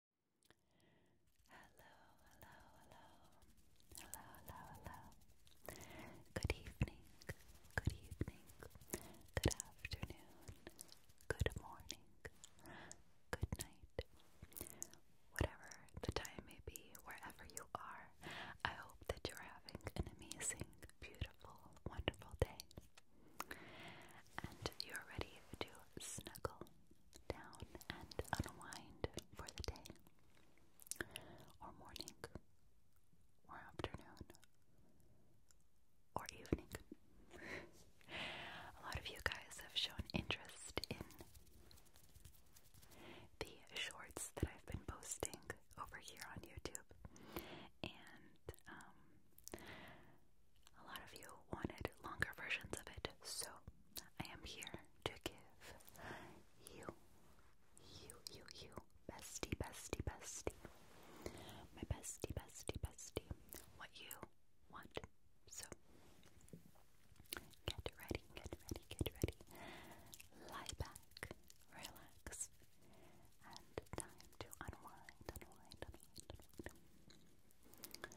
Hello, hello, hello, hello, hello, hello. Good evening, good evening, good afternoon, good morning, good night. Whatever the time may be, wherever you are, I hope that you're having an amazing, beautiful, wonderful day. And you're ready to snuggle down and unwind for the day, or morning, or afternoon, or evening. A lot of you guys have shown interest in the shorts that I've been posting over here on YouTube, and um, a lot of you wanted longer versions of it, so I am here to give you, you, you, you, bestie, bestie, bestie, my bestie, bestie, bestie, what you want. So get ready, get ready, get ready. Lie back, relax, and time to unwind, unwind, unwind, unwind.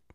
swam,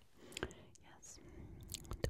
Yes. Tick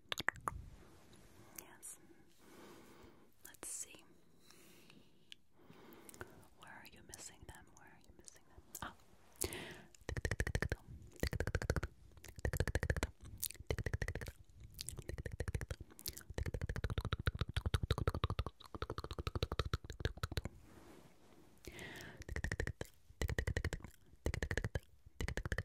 Yes. Let's see. Where are you missing them? Where are you missing them? Ah.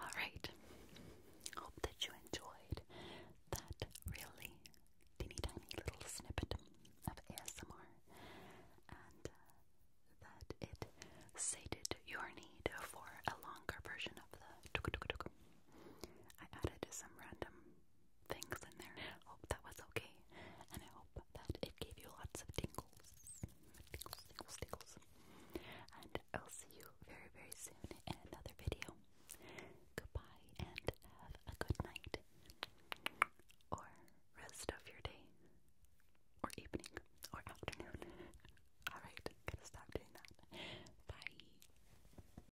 All right. Hope that you enjoyed that really teeny tiny little snippet of ASMR and uh, that it sated your need for a longer version of the. I added some random things in there. I hope that was okay, and I hope that it gave you lots of tingles. Tingles, tingles, tingles. And I'll see you very, very soon in another video. Goodbye, and have a good night, or rest of your day, or evening, or afternoon. Alright, gotta stop doing that. Bye.